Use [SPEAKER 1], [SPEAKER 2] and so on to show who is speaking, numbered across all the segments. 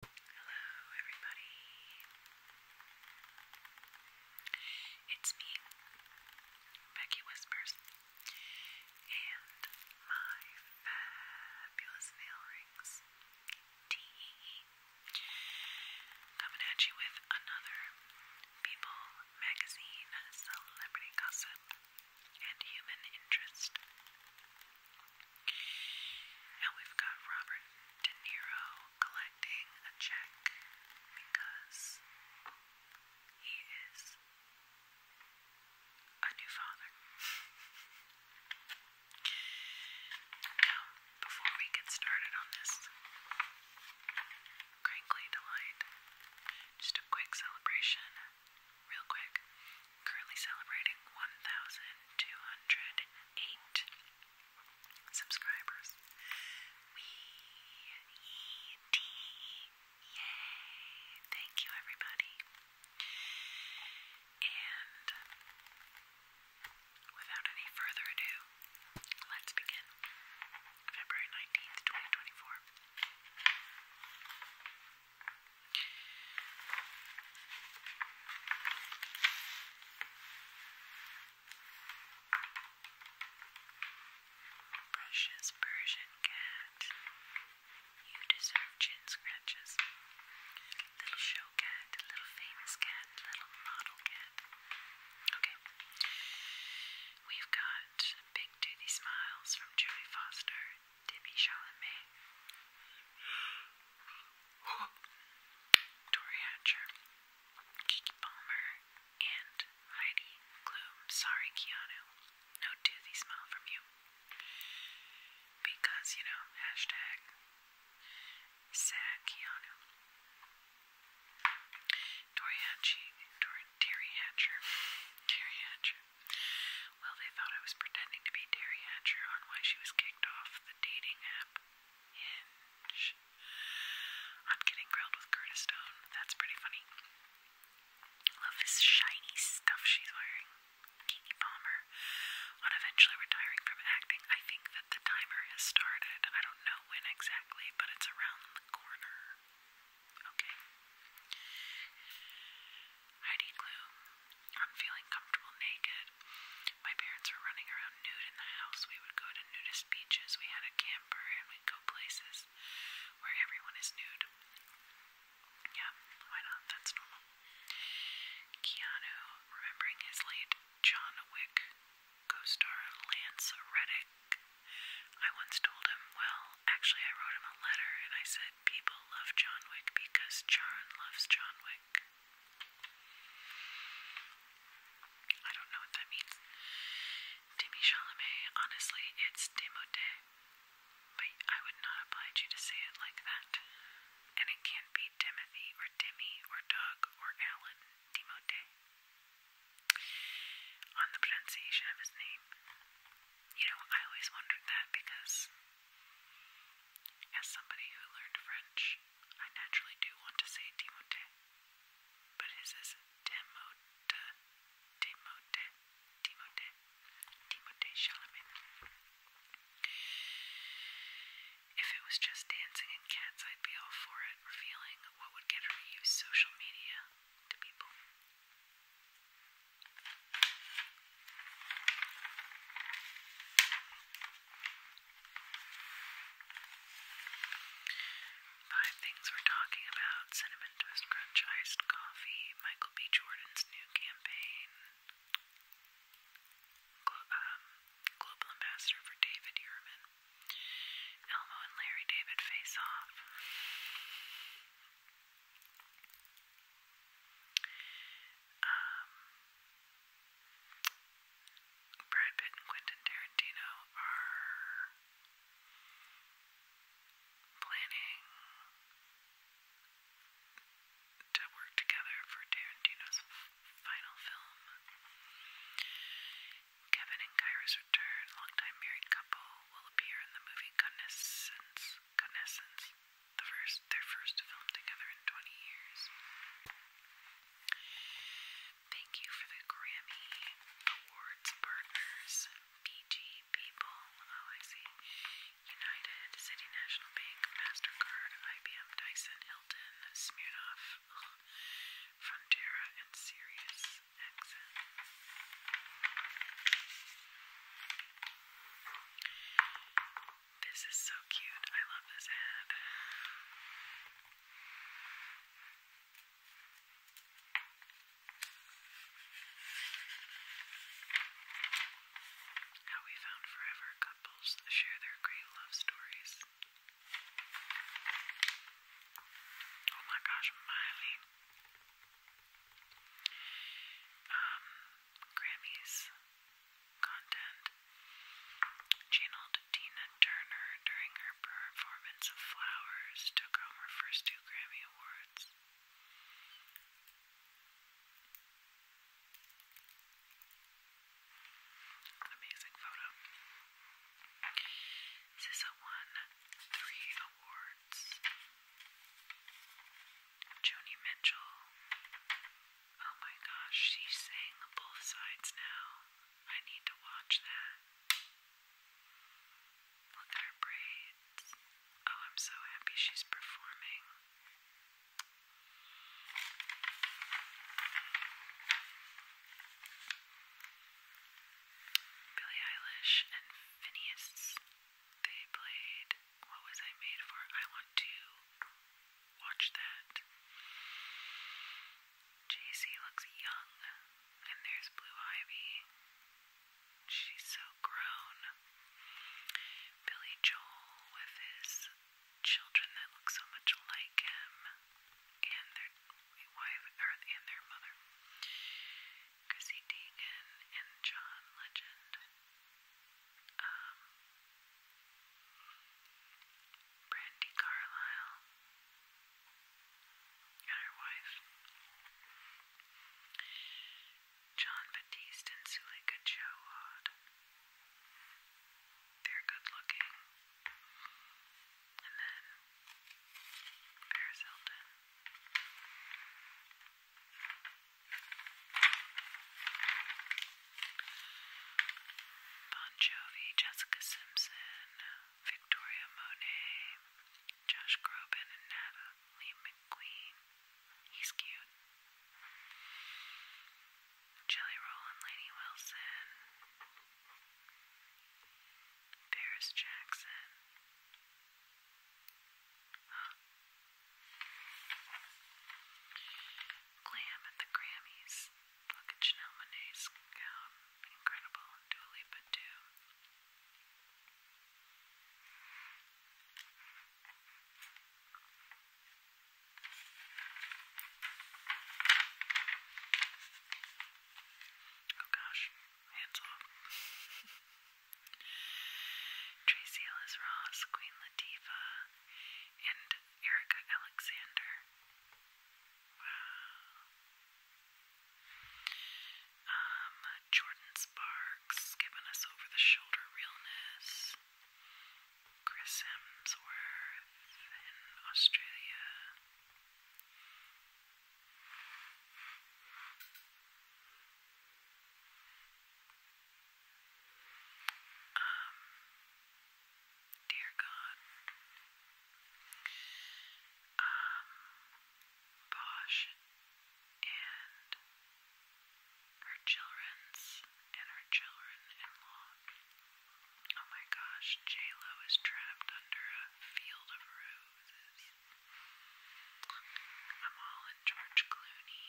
[SPEAKER 1] Hello, everybody. It's me, Becky Whispers, and my fabulous nail rings. Tee. Coming at you with another People Magazine celebrity gossip and human interest now we've got Robert De Niro collecting a check because he is a new father. now, before we get started on this crinkly delight, just a quick celebration, real quick. Currently celebrating 1,200 eight subscribers. We Yay! Thank you, everybody. And without any further ado, let's begin. February 19th, 2024. Precious Persian cat, you deserve chin scratches. Little show cat, little famous cat, little model cat. Okay. We've got Big Toothy Smiles from Jodie Foster, Debbie Chalamet. Dory Hatcher, Kiki Palmer, and Heidi Klum. Sorry, Keanu. No toothy smile from you. Because, you know, hashtag sad Keanu. Dory Hatcher, Terry Hatcher, Terry Hatcher. Well, they thought I was pretending to be Terry Hatcher on why she was kicked off dating app Hinge. I'm getting grilled with Curtis Stone. That's pretty funny. Love this shiny stuff she's wearing. Kiki Palmer. On eventually retiring from acting, I think that the timer has started. I don't know when exactly, but it's around the corner. Okay. Heidi Klum I'm feeling comfortable naked. My parents were running around nude in the house. We would go to nudist beaches. We had a camper and we'd go places where everyone is nude. Yeah, why not? That's normal. Keanu, remembering his late John Wick co star Lance Reddick, I once told him, well, actually, I wrote him a letter and I said, people love John Wick because Charon loves John Wick. I don't know what that means. Demi Chalamet, honestly, it's demode. But I would not oblige you to say it like that. And it can't be Timothy or Demi or Doug or Alan. Demote. On the pronunciation of his name. You know, I always wondered that because as somebody who learned French, I naturally do want to say Timote, but his is Timote, Timote, Timote, Timote Chalamet. If it was just dancing and cats, I'd be all for it, revealing what would get her use social media to people. Five things we're talking about cinnamon toast crunch iced coffee, Michael B. Jordan's new campaign, um, global ambassador for David Yurman, Elmo and Larry David face off. Um, Brad Pitt and Quentin Tarantino are planning to work together for Tarantino's final film. Kevin and Kyra's return, longtime married couple, will appear in the movie Connaissance the first, their first film together in 20 years. Thank you for the Grammy Awards partners, BG People, oh I see, United, City MasterCard, IBM, Dyson, Hilton, Smirnoff, ugh, and Sirius XM. This is so cute. I love this head. How we found forever couples share their great love stories. Oh my gosh, Miley. Um, Grammys content. Channeled Tina Turner during her performance of Flowers took home her first two Grammy Awards. Amazing photo. SZA won three awards. Joni Mitchell Oh my gosh, she's saying the both sides now. I need to watch that. Look at her braids. Oh, I'm so happy she's performing. Billie Eilish and Phineas, they played what was I made for? I want to watch that. JC looks young, and there's Blue Ivy. She's so grown. Billy Joel with his children that look so much like him, and their wife or, and their mother. Chrissy Teigen and John Legend. Um, Brandy Carlisle and her wife. John Batiste and Sulika Jawad. They're good looking. And then Paris Hilton. Bon Jovi, Jessica Simpson, Victoria Monet, Josh Groban, and Natalie McQueen. He's cute. Jelly Roll and Lainey Wilson. Paris Jackson. Glam at the Grammys. Look at Janelle Monae's gown. Incredible. And Dua Lipa too. Oh gosh, hands off. Tracy Ellis Ross, Queen Latifah, and Erica Alexander. Wow. Um, Jordan Sparks giving us over the shoulder realness. Chris Hemsworth in Australia dear God, um, Bosch and her children's and her children-in-law. Oh my gosh, J-Lo is trapped under a field of roses. I'm all in George Clooney.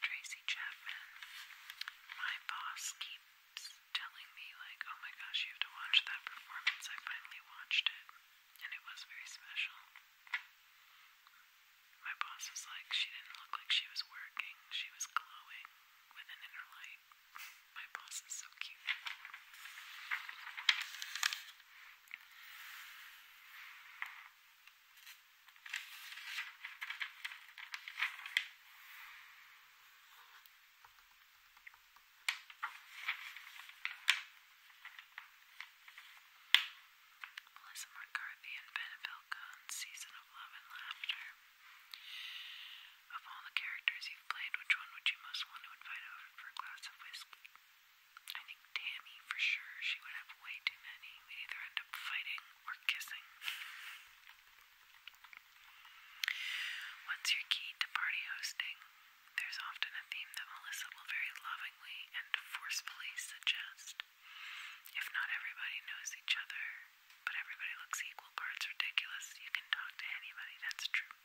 [SPEAKER 1] Tracy Chapman. My boss keeps telling me like, oh my gosh, you have to watch that performance. I finally watched it, and it was very special. My boss was like, she didn't look like she was working. She was glowing with an inner light. my boss is so cute. Melissa McCarthy and Ben Affleck on Season of Love and Laughter. Of all the characters you've played, which one would you most want to invite over for a glass of whiskey? I think Tammy, for sure. She would have way too many. We'd either end up fighting or kissing. What's your key to party hosting? There's often a theme that Melissa will very lovingly and forcefully suggest. If not everybody knows each other, but everybody looks equal parts ridiculous, you can talk to anybody, that's true.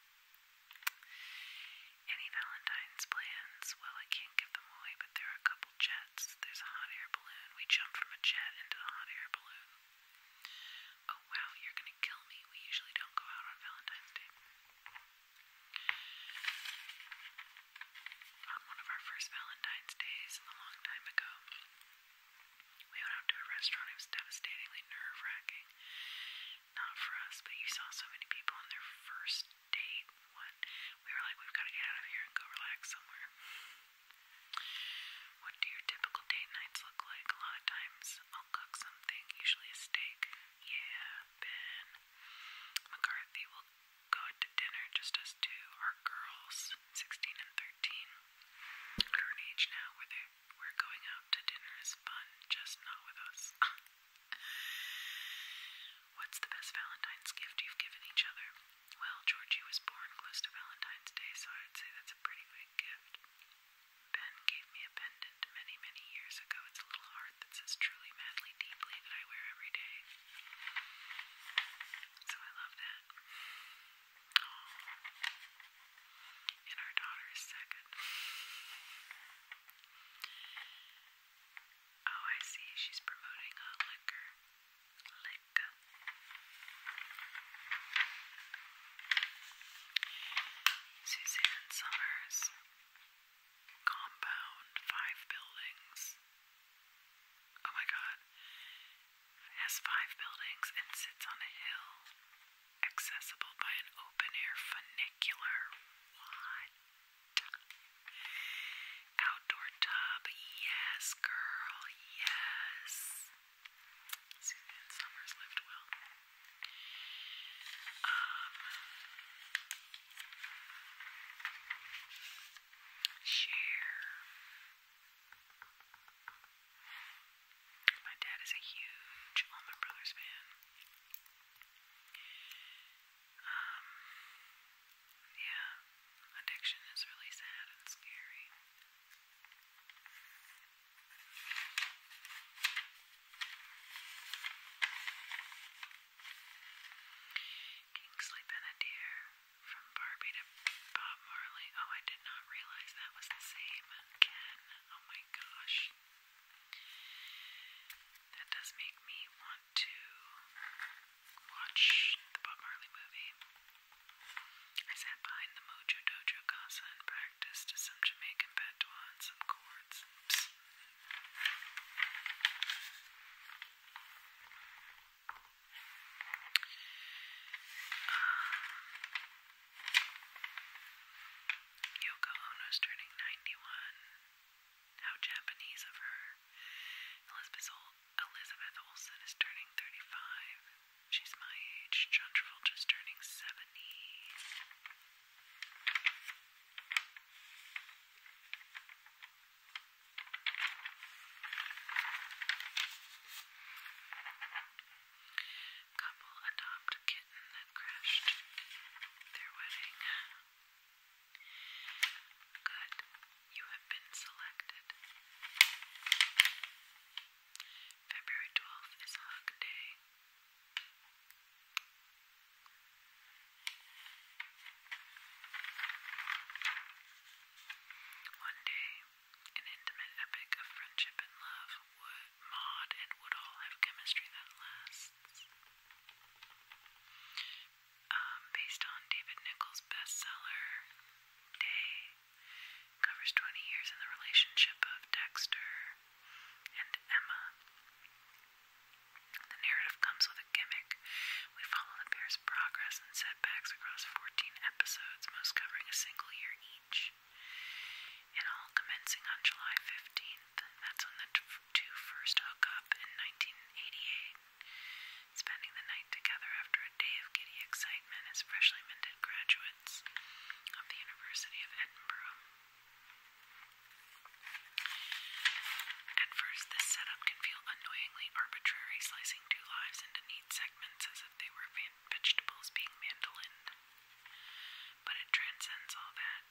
[SPEAKER 1] Any Valentine's plans? Well, I can't give them away, but there are a couple jets. There's a hot air balloon. We jumped from a jet into a hot air balloon. Oh wow, you're gonna kill me. We usually don't go out on Valentine's Day. On one of our first Valentine's days a long time ago, we went out to a restaurant. It was devastatingly nerve wracking. Not for us, but you saw so many people on their first date. We were like, we've got to get out of here and go relax somewhere. What do your typical date nights look like? A lot of times I'll cook something, usually a steak. Yeah, Ben McCarthy will go out to dinner just us two, our girls, 16 and 13. At our age now, where they we're going out to dinner is fun, just not with us. What's the best Valentine's gift you've given each other? Well, Georgie was born close to Valentine's Day, so I'd say that's a pretty big gift. Ben gave me a pendant many, many years ago. It's a little heart that says truly, madly, deeply that I wear every day. So I love that. Oh. And our daughter is second. Oh, I see. She's promoting a liquor. Liquor. Suzanne Summers, Compound, Five Buildings. Oh my god. has five buildings and sits on a hill, accessible by an open air funicular. What? Outdoor tub, yes, girl, yes. Susan Summers lived well. Um, My dad is a huge Allman Brothers fan. Um, yeah, addiction is really sad and scary. Kingsley Benadier from Barbie to Bob Marley. Oh, I did not realize that was the same. Ken, oh my gosh. That does make me want to watch the Bob Marley movie. I sat behind the Mojo Dojo Casa in Prague. Just to some Jamaican patois and some chords. Psst. Um, Yoko turning 91. How Japanese of her. Elizabeth, Ol is turning 35. She's my age. John Travolta just turning 70. Couple adopt kitten that crashed their wedding. Good. You have been selected. February 12th is Hug Day. One day, an intimate epic of friendship and love, Wood, Maud and Woodall have chemistry that lasts. Um, based on David Nichols' bestseller, Day Covers 20 years in the relationship of Dexter and Emma. The narrative comes with a gimmick. We follow the pair's progress and setbacks across 14 episodes, most covering a single year each. And all commencing on July 15th. That's when the two first hook up in 1988. Spending the night together after a day of giddy excitement as freshly minted graduates of the University of Edinburgh. At first, this setup can feel annoyingly arbitrary, slicing two lives into neat segments as if they were vegetables being mandolined. But it transcends all that.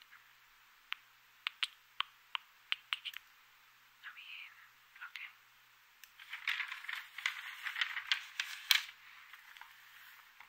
[SPEAKER 1] I mean, okay.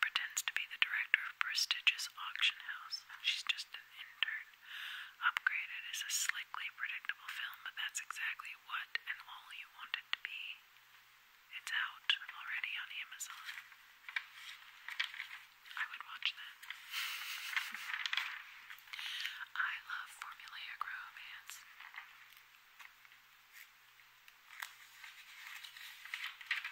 [SPEAKER 1] Pretends to be the director of a prestigious auction house. She's just an intern. Upgraded is a slickly predictable film, but that's exactly what and all you want it to be. It's out already on Amazon. I would watch that. I love formulaic romance.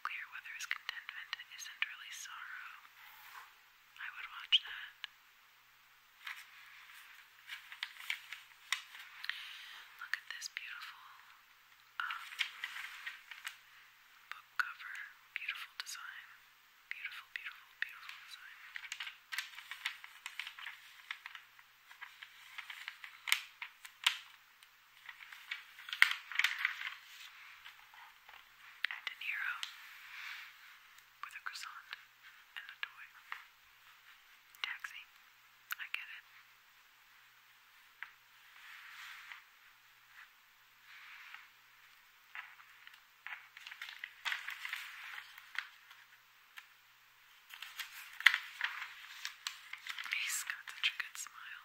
[SPEAKER 1] clear whether contentment isn't really sorrow. I would watch that. Look at this beautiful um, book cover. Beautiful design. Beautiful, beautiful, beautiful design and De Niro with a croissant and a toy. Taxi. I get it. He's got such a good smile.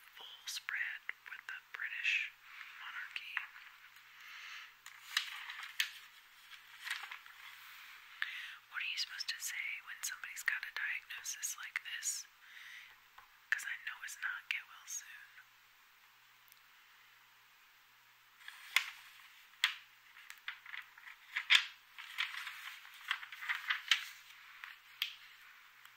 [SPEAKER 1] full spread with the British monarchy. What are you supposed to say when somebody's got a diagnosis like this? Because I know it's not get well soon.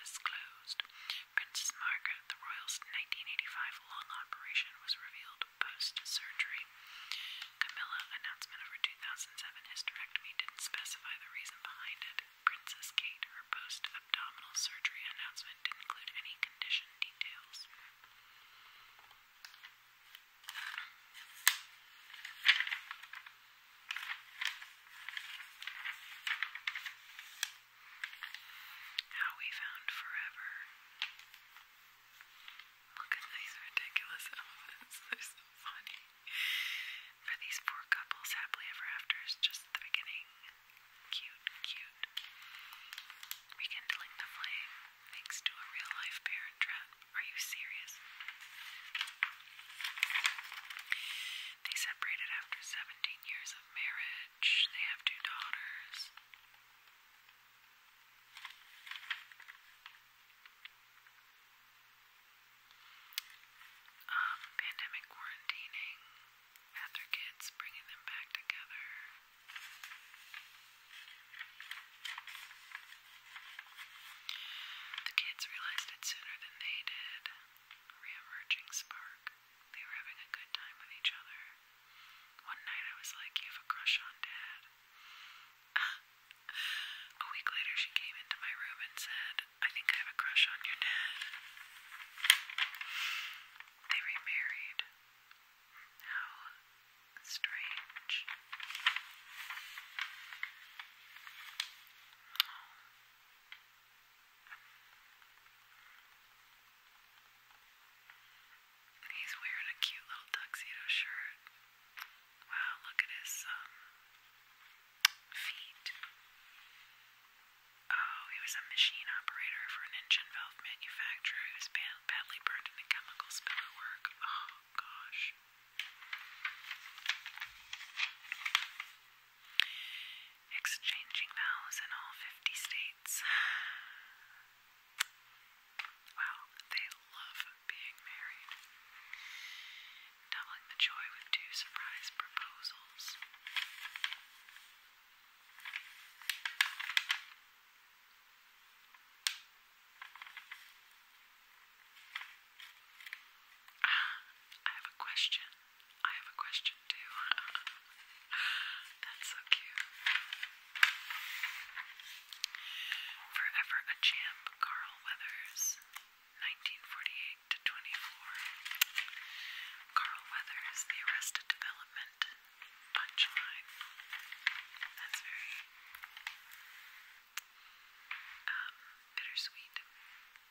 [SPEAKER 1] disclosed. Princess Margaret, the royal's 1985 lung operation was revealed post-surgery. Camilla, announcement of her 2007 hysterectomy didn't specify the reason behind it. Princess Kate, her post-abdominal surgery announcement didn't include any condition details. How We Found Forever. Look at these ridiculous elements, they're so funny. For these poor couples, Happily Ever After is just the beginning. Cute, cute. Rekindling the flame, thanks to a real life parent trap. Are you serious? They separated after 17 years of marriage. They have two daughters. Um, pandemic quarantining at their kids, bringing them back together. The kids realized it sooner than they did. Reemerging spark. They were having a good time with each other. One night I was like, You have a crush on Dad. a week later, she came into my room and said, I think I have a crush on your dad. They remarried. How strange. He's wearing a cute little tuxedo shirt. Wow, look at his um, feet. Oh, he was a machine operator for an engine valve manufacturer who was badly burned in a chemical spill at work. Oh, gosh exchanging vows in all 50 states. Wow, they love being married. Doubling the joy with two surprise proposals. Ah, I have a question. I have a question too. That's so cute. Forever a champ, Carl Weathers, 1948 to 24. Carl Weathers, The Arrested Development punchline. That's very um, bittersweet.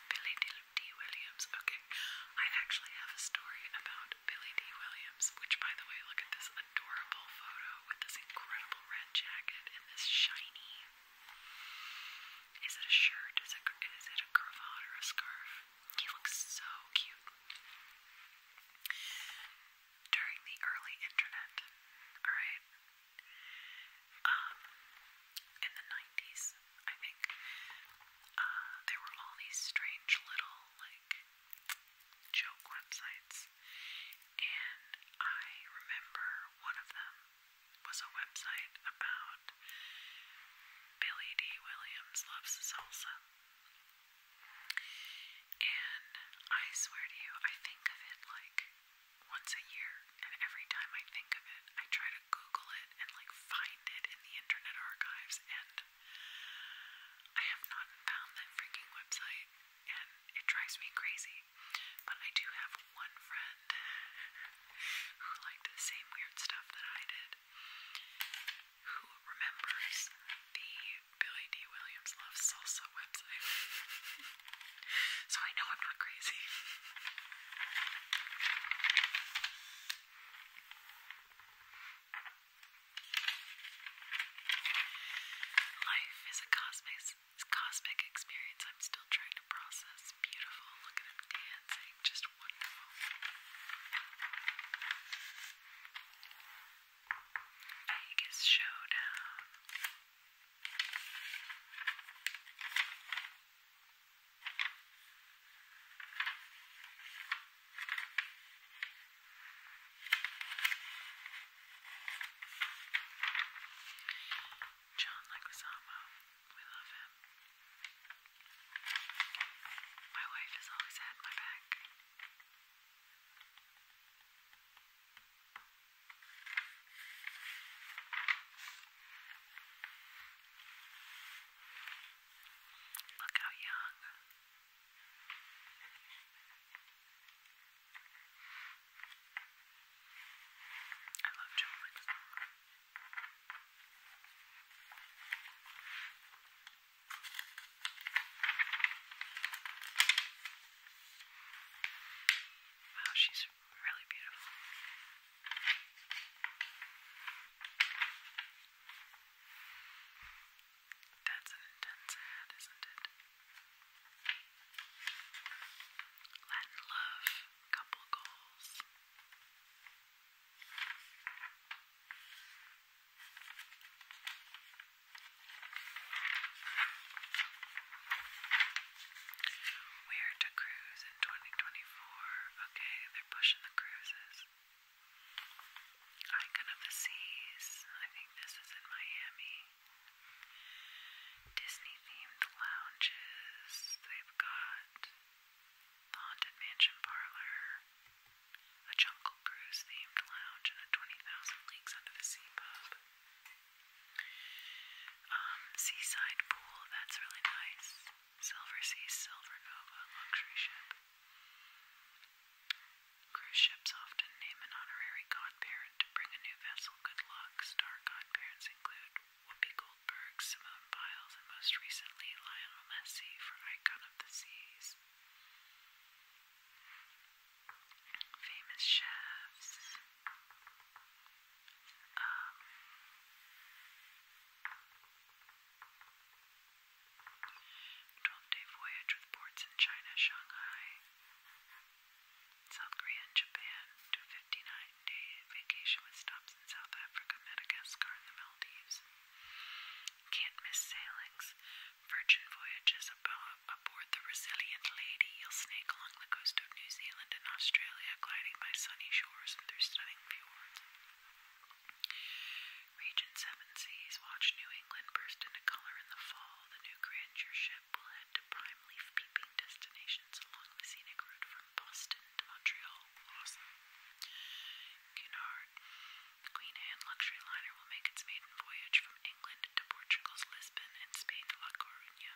[SPEAKER 1] Billy D. Williams. Okay, I actually have a story about Billy D. Williams, which, by the way, look at this adorable photo with this incredible red jacket and this shiny. Is it a shirt? Is it, is it a cravat or a scarf? He looks so cute. During the early internet, alright, um, in the 90s, I think. Uh, there were all these strange little, like, joke websites, and I remember one of them was a website about Billy D. Williams loves salsa. And I swear to you, I think of it like once a year, and every time I think of it, I try to Google it and like find it in the internet archives, and I have not found that freaking website, and it drives me crazy. But I do have one friend who liked the same weird stuff that I did, who remembers the Billy D. Williams Love Salsa website. So I know I'm not crazy. Life is a cosmic, cosmic experience I'm still trying to process. Beautiful. Look at him dancing. Just wonderful. Vegas Showdown. John Leguizamo, we love him. My wife has always had my back. Look how young. I love children. Wow, she's really beautiful. That's an intense ad, isn't it? Latin love, couple goals. Where to cruise 2024. Okay, they're pushing the cruises. Icon of the Seas. I think this is in Miami. Disney themed lounges. They've got the Haunted Mansion Parlor, a Jungle Cruise themed lounge, and a 20,000 Leagues Under the Sea pub. Um, seaside pool, that's really nice. Silver Sea, Silver Nova, luxury ship. Cruise ships often name an honorary godparent to bring a new vessel good luck. Star godparents include Whoopi Goldberg, Simone Biles, and most recently Lionel Messi for Icon of the Seas. Famous chefs. Um, Twelve-day voyage with ports in China, Shanghai, South Korea, and Japan. fifty-nine-day vacation with stops in South Africa, Madagascar, and the Maldives. Can't miss sailings. Virgin voyages aboard the Resilient Lady. You'll snake along the coast of New Zealand and Australia, gliding by sunny shores and through stunning fjords. Region Seven Seas, watch New England burst into color in the fall. The new grandeur ship will head to prime leaf peeping destinations along the scenic route from Boston to Montreal. Awesome. the Queen Anne luxury liner will make its maiden voyage from England to Portugal's Lisbon and Spain La Coruña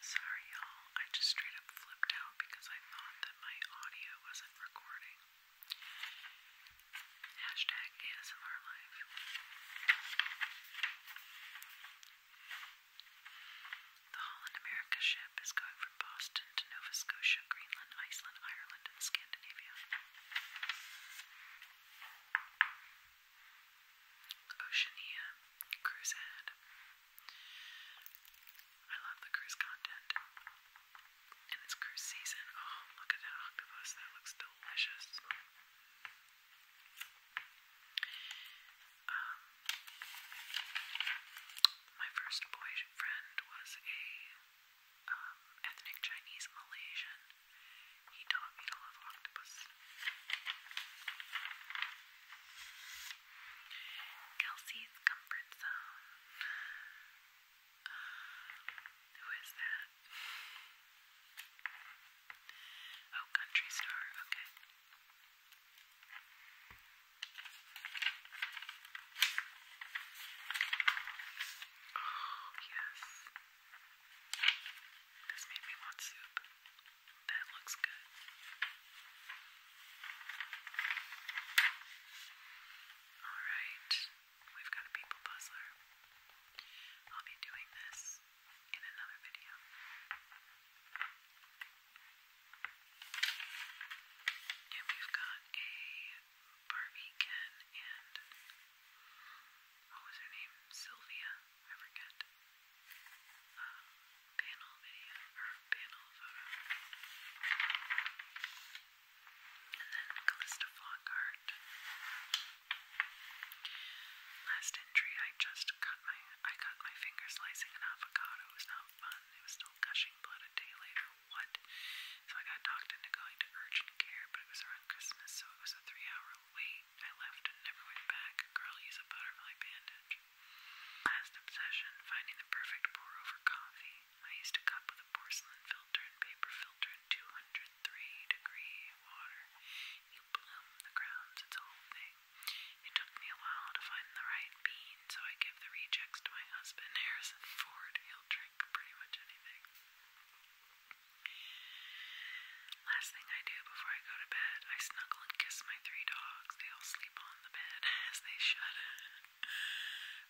[SPEAKER 1] sorry y'all. I just straight up flipped out because I thought that my audio wasn't recording. Hashtag ASMR life. The Holland America ship is going from Boston to Nova Scotia, Greenland, Iceland, Ireland, and Scandinavia. Oceania Cruzad I love the cruise content. And it's cruise season. Oh, look at that octopus. That looks delicious. Um, my first boyfriend was a um, ethnic Chinese Malaysian. He taught me to love octopus. Kelsey's Comfort Zone. Um, who is that? Oh, Country Star, okay. Oh, yes. This made me want soup. That looks good. Alright, we've got a people puzzler. I'll be doing this in another video. And we've got a Barbie Ken and what was her name? Sylvia, I forget. Um, panel video or panel photo. And then Callista Flockhart. Last entry, I just cut my I cut my finger slicing an avocado. It was not fun. It was still gushing blood a day later. What? So I got talked into going to urgent care, but it was around Christmas, so it was a three-hour wait. I left and never went back. Girl, use a butterfly bandage. Last obsession, finding the perfect pour over coffee. I used a cup with a porcelain filter and paper filter and 203 degree water. You bloom the grounds, it's a whole thing. It took me a while to find the right bean, so I give the rejects to my husband, Harrison Ford. He'll drink pretty much anything. Last thing I do before I go to bed, I snuggle and kiss my three dogs. They all sleep all on the bed, as they should.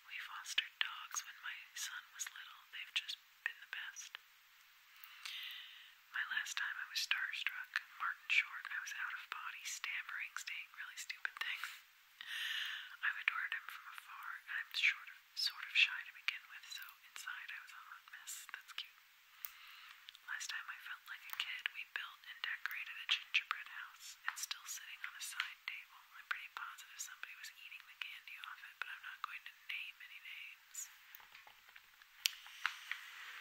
[SPEAKER 1] We fostered dogs when my son was little. They've just been the best. My last time I was starstruck, Martin Short, I was out of body, stammering, saying really stupid things. I've adored him from afar, and I'm short of, sort of shy to begin with, so inside I was a hot mess. That's cute. Last time I felt like a kid, we built and decorated a gingerbread house. It's still sitting on a side table. I'm pretty positive somebody was eating the candy off it, but I'm not going to name any names.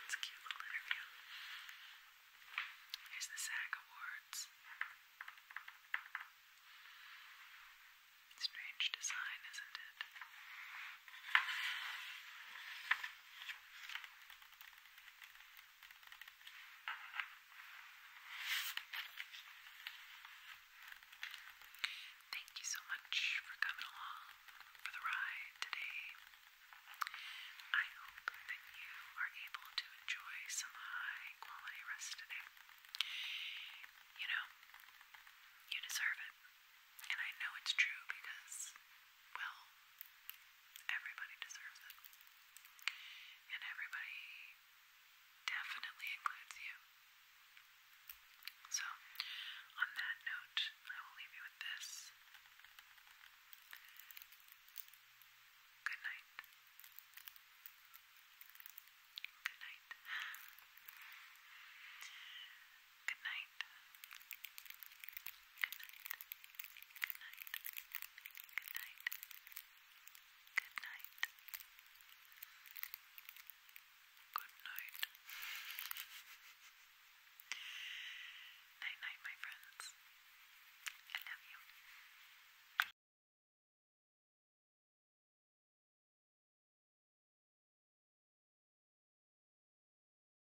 [SPEAKER 1] It's a cute little interview. Here's the SAG Awards. Strange design, isn't it? Thank you so much for coming along for the ride today. I hope that you are able to enjoy some high quality rest today. You know, you deserve it. And I know it's true because well, everybody deserves it. And everybody definitely includes you. So, on that note, I will leave you with this. Good night. Good night. Good night. Night night, my friends. I love you.